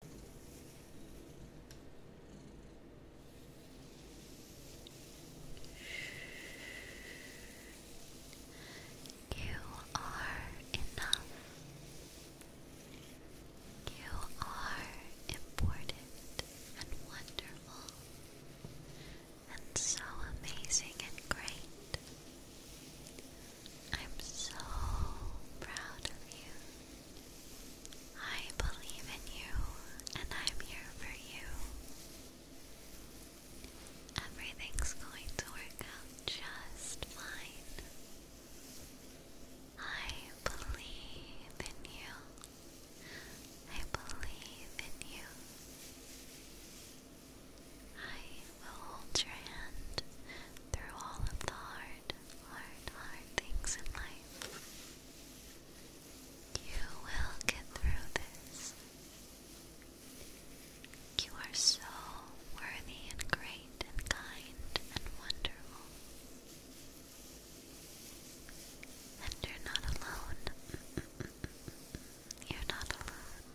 You are enough. You are important and wonderful and so amazing and great. I'm so proud of you. I believe in you, and I'm here for you. Everything's going to work out just fine. I believe in you. I believe in you. I will hold your hand through all of the hard, hard, hard things in life. You will get through this. You are so worthy and great and kind and wonderful. And you're not alone. You're not alone.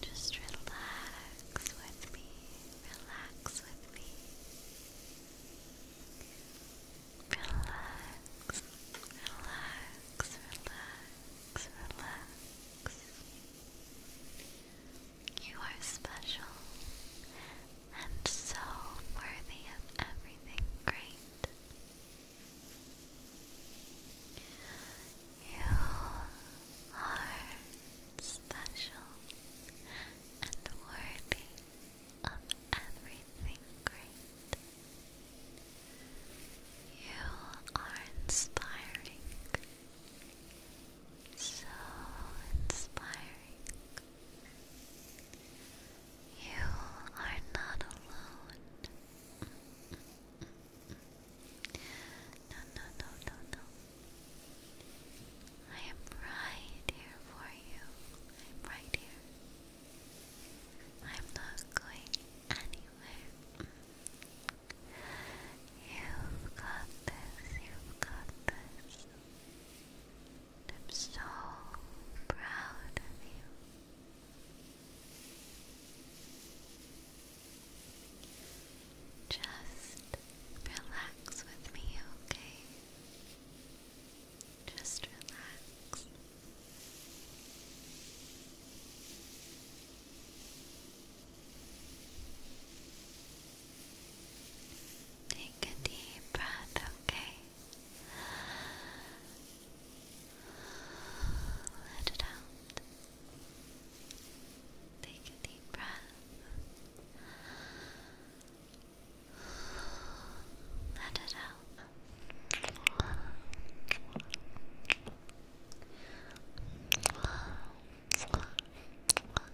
Just relax with me, relax with me. Relax, relax, relax, relax. You are special and so worthy of everything great. You are special and worthy of everything great. You are inspiring so inspiring. You are not alone. No, no, no, no, no. I am right here for you. I'm right here. I'm not going anywhere. You've got this, you've got this. I'm so proud of you. Just relax with me, okay? Just relax. Take a deep breath, okay? Let it out. Take a deep breath. Let it out.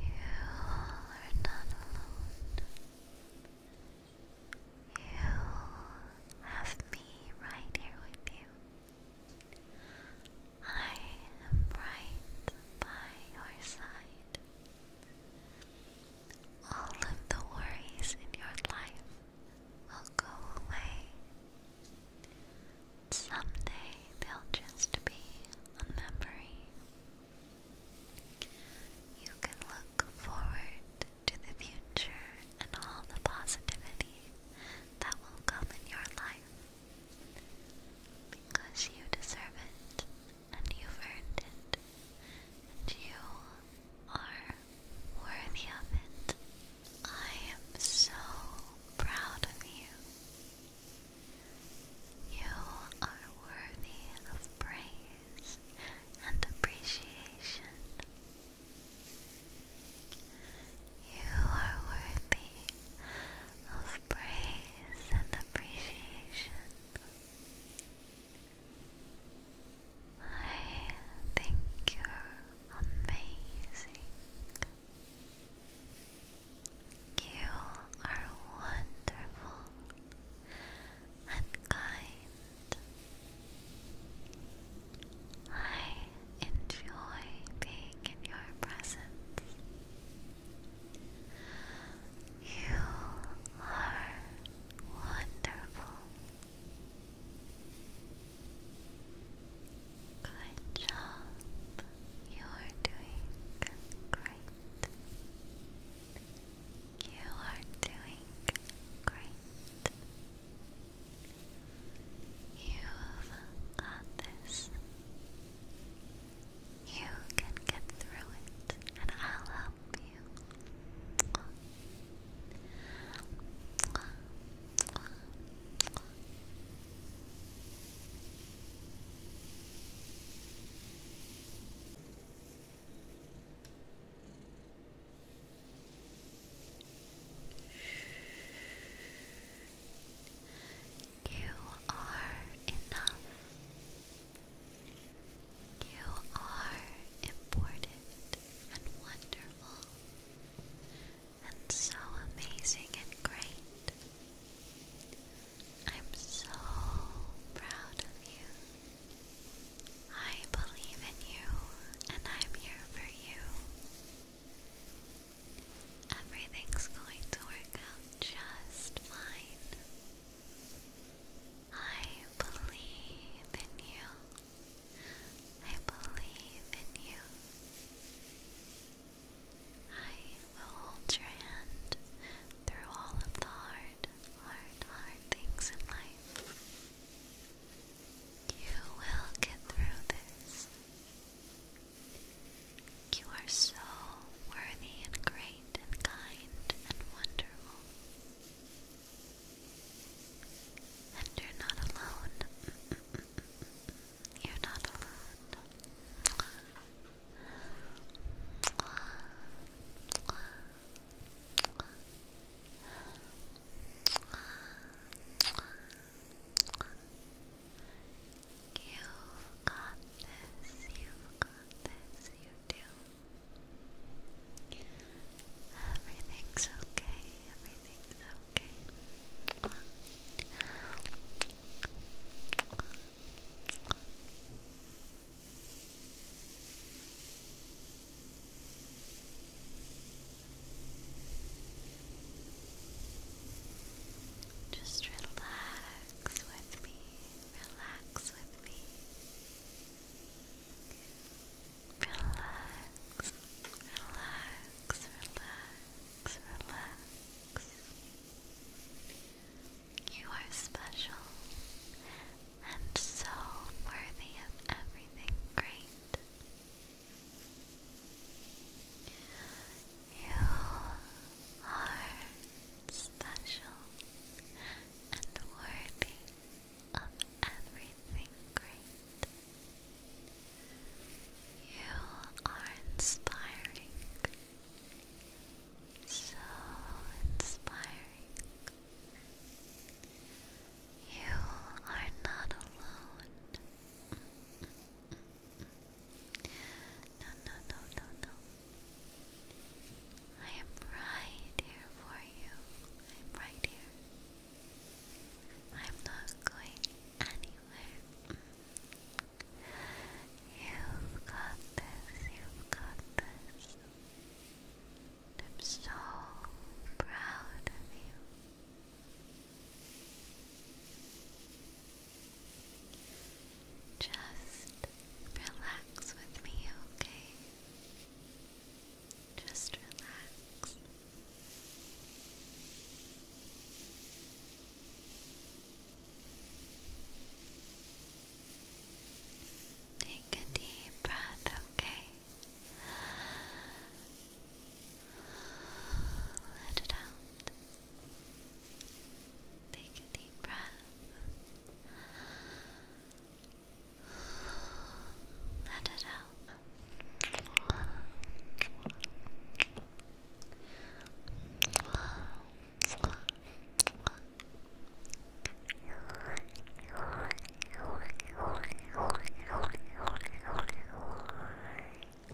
You are not alone. You have me right here with you. I am right by your side. All of the worries in your life will go away. Someday they'll just be a memory. You can look forward to the future and all the positivity that will come in your life because you deserve it and you've earned it, and you are worthy of it. I am so proud of you. You are worthy of praise and appreciation. You are worthy of praise and appreciation. I think you're amazing. You are wonderful and kind. I enjoy being in your presence. You are wonderful. Good job. You're doing great. You are doing great. You've got this. You can get through it, and I'll help you. You are enough. You are important and wonderful and so amazing and great. I'm so proud of you. I believe in you and I'm here for you. Everything's going to work out just fine. I believe in you. I believe in you. I will hold your hand through all of the hard, hard, hard things in life. You will get through this. You are so worthy and great and kind and wonderful. And you're not alone. You're not alone you got this, you got this, you do. Everything's okay, everything's okay. Just relax with me. Relax with me. Relax, relax, relax, relax. You are special and so worthy of everything great. You are special, and worthy of everything great. You are inspiring, so inspiring. You are not alone. No, no, no, no, no. I am right here for you. I'm right here. I'm not going anywhere. You've got this, you've got this. I'm so proud of you. Just relax with me, okay? Just relax. Take a deep breath, okay? Let it out. Take a deep breath. Let it out.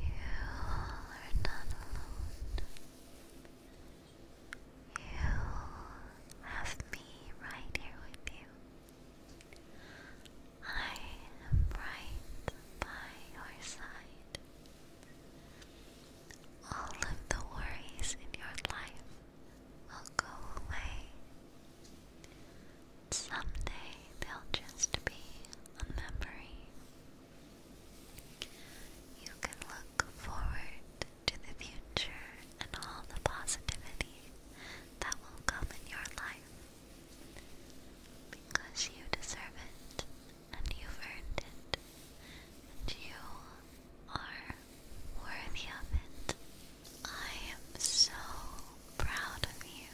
You are not alone. You have me right here with you. I am right by your side. All of the worries in your life will go away someday they'll just be a memory. You can look forward to the future and all the positivity that will come in your life because you deserve it and you've earned it and you are worthy of it. I am so proud of you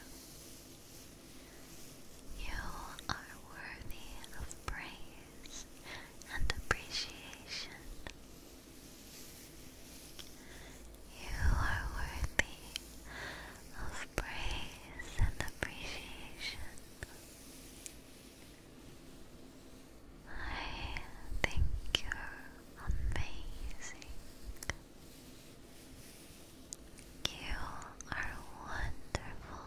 you are worthy of praise and appreciation. You are worthy of praise and appreciation. I think you're amazing. You are wonderful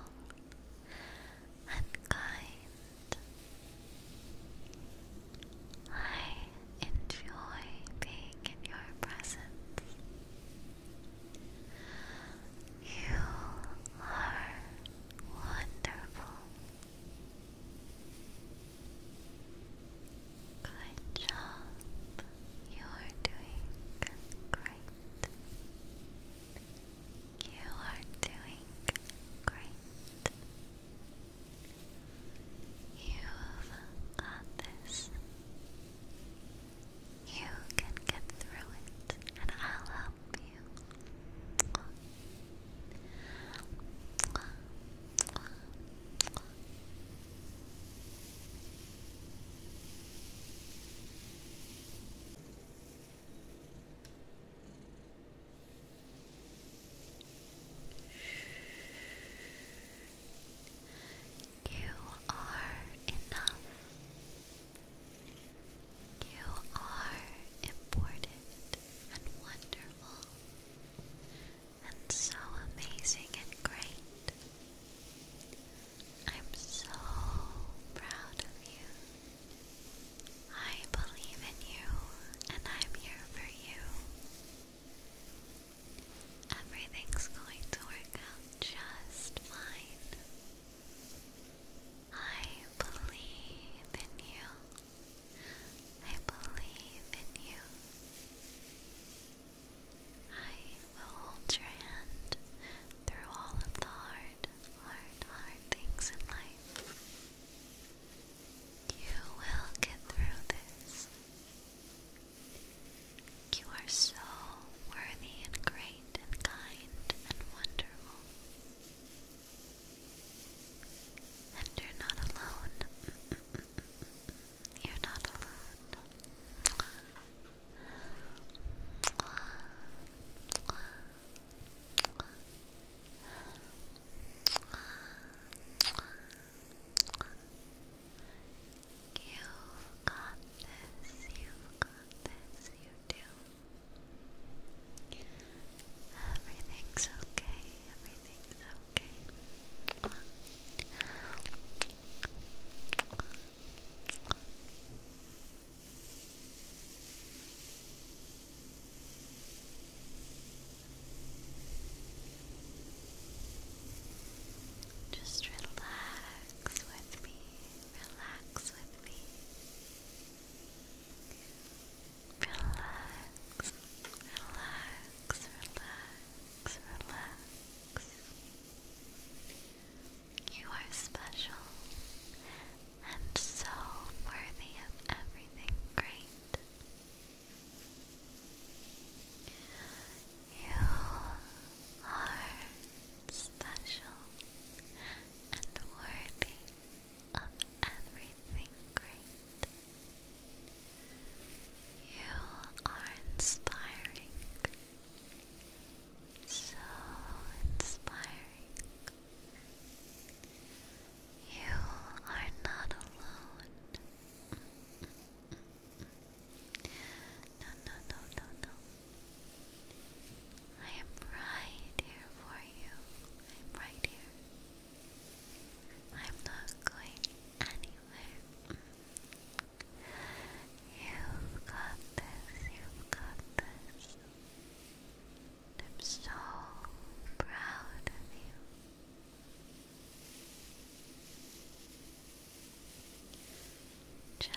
and kind. I enjoy being in your presence. You are wonderful. Good job. You are doing great. You are doing great. You've got this. You can get through it, and I'll help you. You are enough. You are important and wonderful and so amazing and great. I'm so proud of you. I believe in you, and I'm here for you. Everything's going to work out just fine. I believe in you. I believe in you. I will hold your hand through all of the hard, hard, hard things in life. You will get through this. You are so worthy and great and kind and wonderful. And you're not alone. You're not alone. you got this, you got this, you do. Everything's okay, everything's just relax with me, relax with me, relax, relax, relax, relax. You are special and so worthy of everything great. You are special and worthy of everything great. You are inspiring. So inspiring. You are not alone. No, no, no, no, no. I am right here for you. I'm right here. I'm not going anywhere. You've got this, you've got this. I'm so proud of you. Just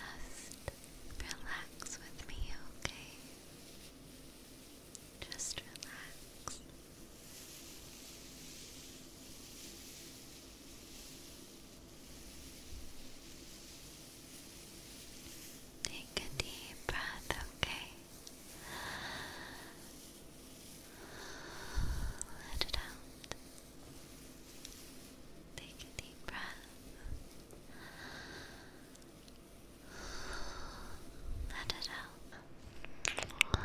relax with me, okay? Just relax. Take a deep breath, okay? Let it out. Take a deep breath. Let it out.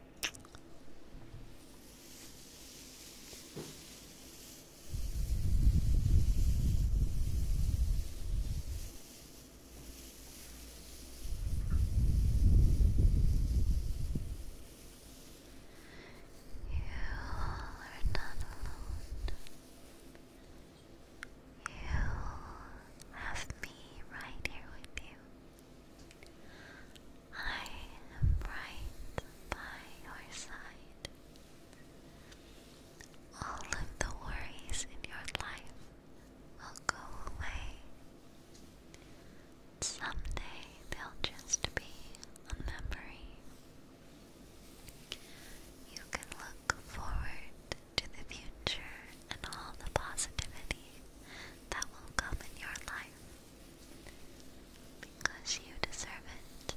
are not alone. You have me right here with you. I am right by your side. All of the worries in your life will go away. Someday they'll just be a memory. You can look forward to the future and all the positivity that will come in your life. Because you deserve it,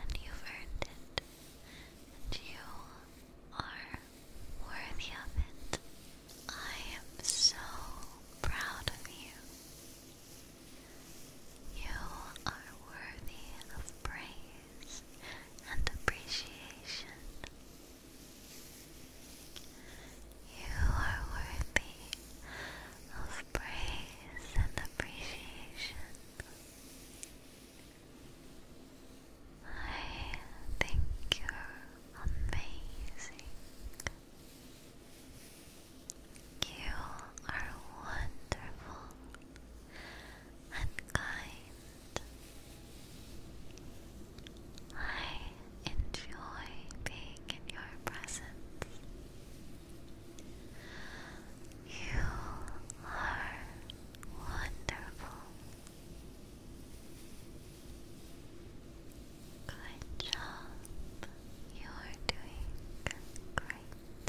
and you've earned it, and you are worthy of it. I am so proud of you. You are worthy of praise and appreciation. You are worthy of praise and appreciation. I think you're amazing. You are wonderful and kind. I enjoy being in your presence. You are wonderful. Good job. You're doing great.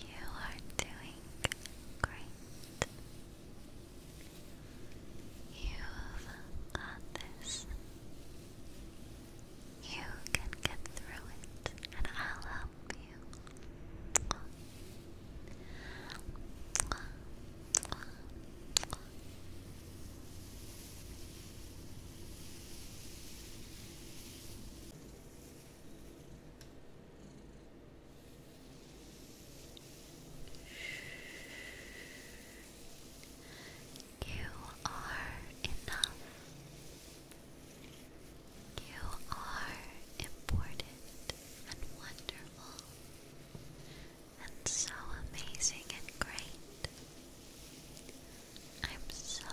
You are doing great. You've got this. You can get through it, and I'll help you. You are enough. You are important and wonderful and so amazing and great. I'm so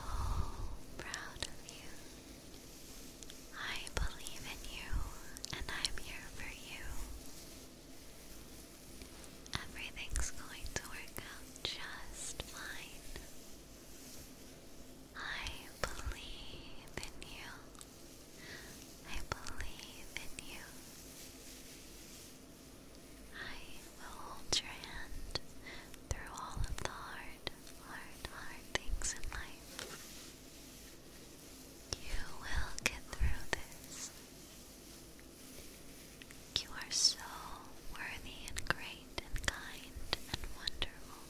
proud of you. I believe in you and I'm here for you. Everything's going to work out just fine. I believe in you. I believe in you. I will hold your hand through all of the hard, hard, hard things in life. You will get through this. You are so worthy and great and kind and wonderful.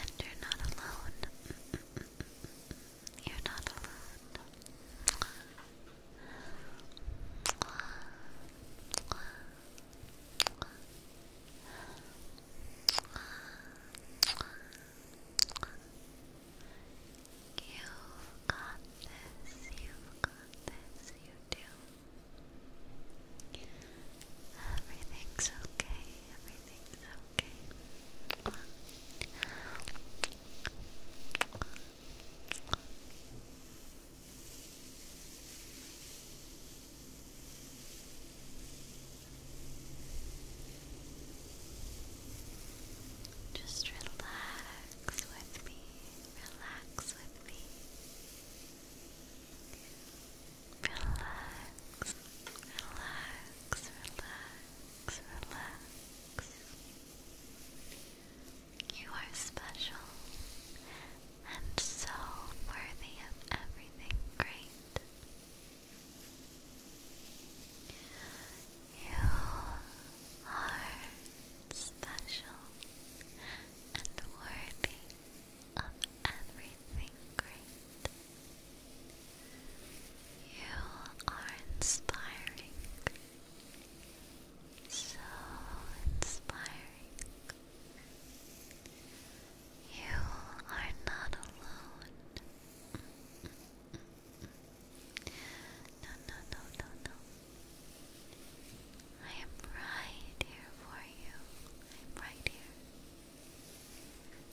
And you're not alone. You're not alone. You've got this, you've got this, you do. Everything's okay, everything's okay. Just relax with me, relax with me. Relax, relax, relax, relax. You are special and so worthy of everything great you are special and worthy of everything great. You are inspiring, so inspiring. You are not alone. No, no, no, no, no. I am right here for you. I'm right here.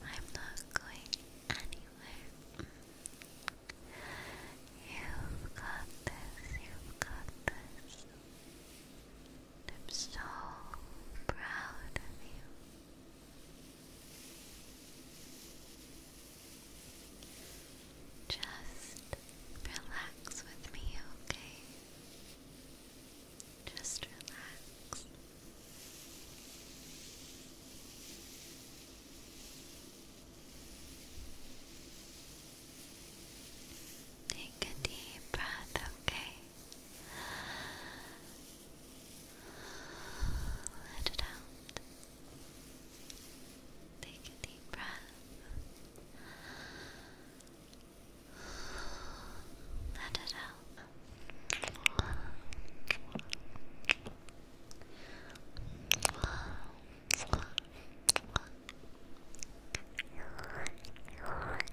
I'm not going anywhere. You've got this, you've got this. I'm so proud of you. Just relax with me, okay? Just relax. Take a deep breath, okay? Let it out. Take a deep breath. Let it out.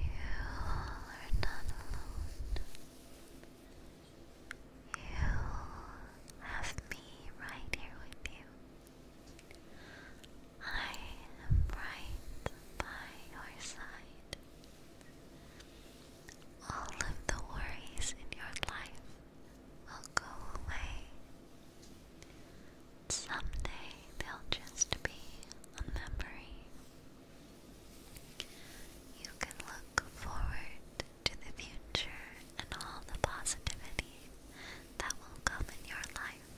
You are not alone. You have me right here with you. I am right by your side. All of the worries in your life will go away. Someday they'll just be a memory. You can look forward to the future and all the positivity that will come in your life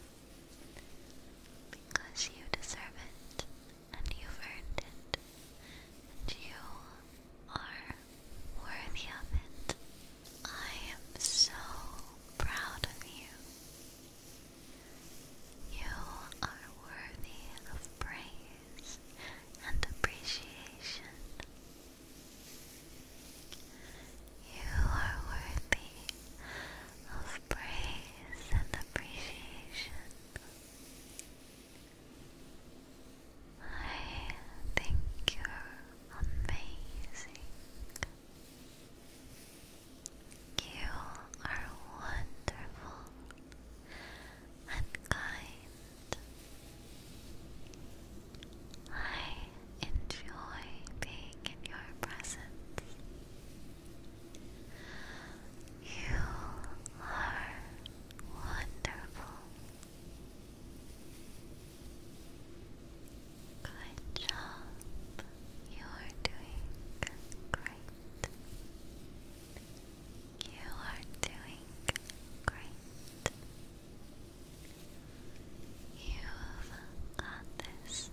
because you deserve it and you've earned it and you are worthy of it. I am so proud of you. You are worthy of praise and appreciation. You are worthy of praise and appreciation. I think you're amazing. You are wonderful and kind. I enjoy being in your presence. You are wonderful Good job. You are doing great. You are doing great. You've got this.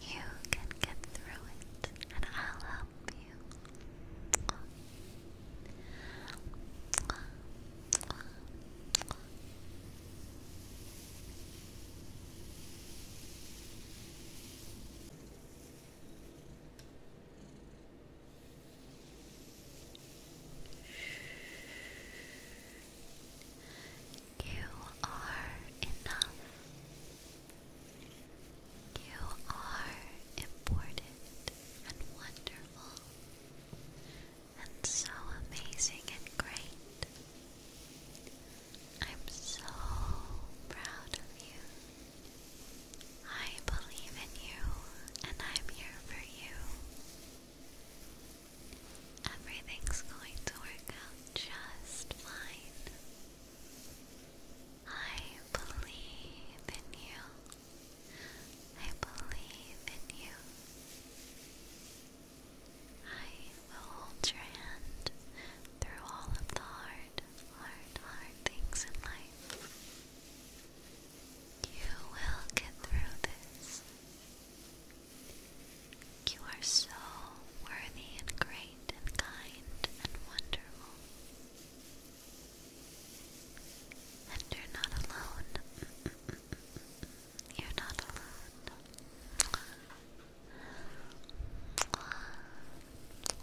You can get through it, and I'll love you. You are enough. You are important and wonderful and so amazing and great. I'm so proud of you. I believe in you and I'm here for you. Everything's going to work out just fine. I believe in you. I believe in you. I will hold your hand through all of the hard, hard, hard things in life. You will get through this. You are so worthy and great and kind and wonderful. And you're not alone. You're not alone. You've got this,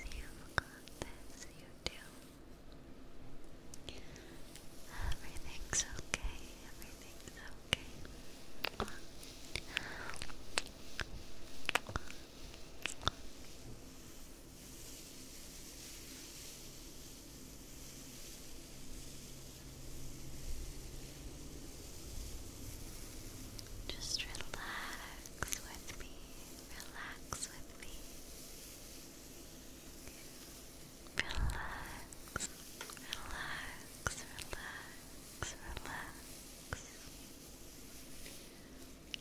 you've got this, you do. Everything's okay, everything's okay. Just relax with me, relax with me relax, relax, relax, relax.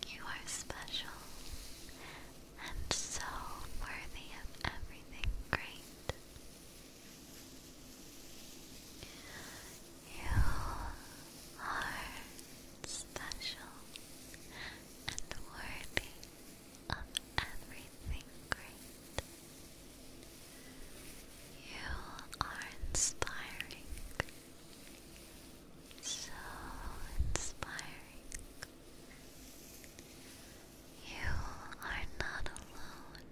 You are special and so worthy of everything great. You are special and worthy of everything great. You are inspiring. So inspiring. You are not alone.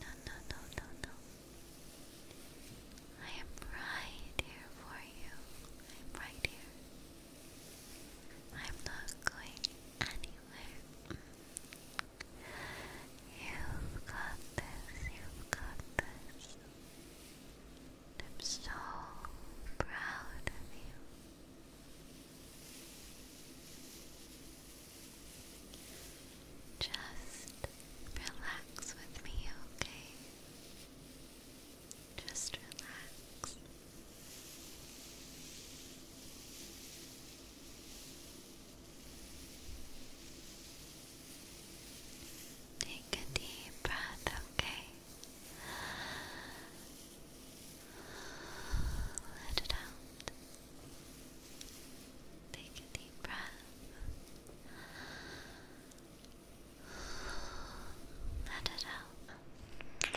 No, no, no, no, no. I am right here for you. I am right here. I'm not going anywhere. You've got this, you've got this. I'm so proud of you. Just relax with me, okay? Just relax. Take a deep breath, okay? Let it out. Take a deep breath. Let it out. Let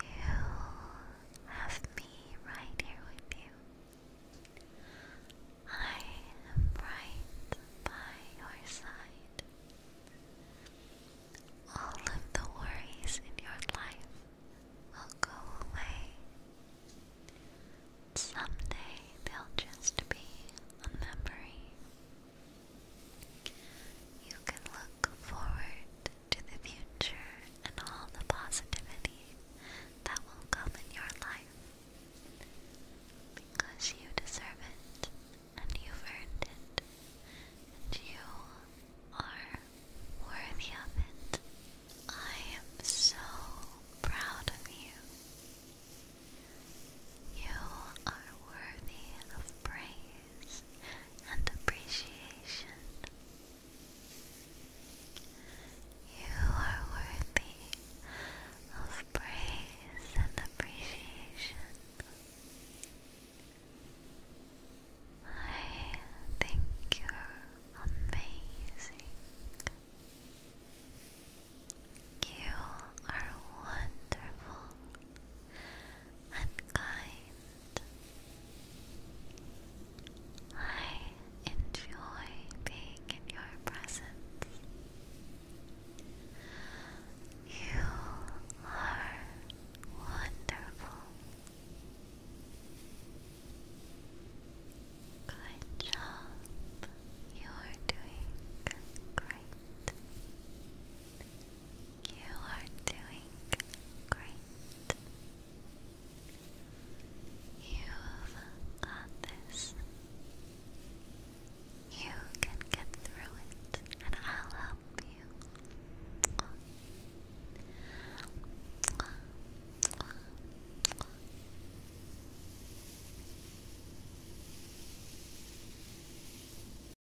You have me right here with you. I am right by your side. All of the worries in your life will go away. Someday they'll just be a memory you can look forward to the future and all the positivity that will come in your life because you deserve it and you've earned it and you are worthy of it. I am so proud of you. You are worthy of praise and appreciation. You are worthy of praise and appreciation. I think you're amazing. You are wonderful and kind. I enjoy being in your presence. You are wonderful. Good job. You are doing great. You are doing great. You've got this. You can get through it, and I'll help you.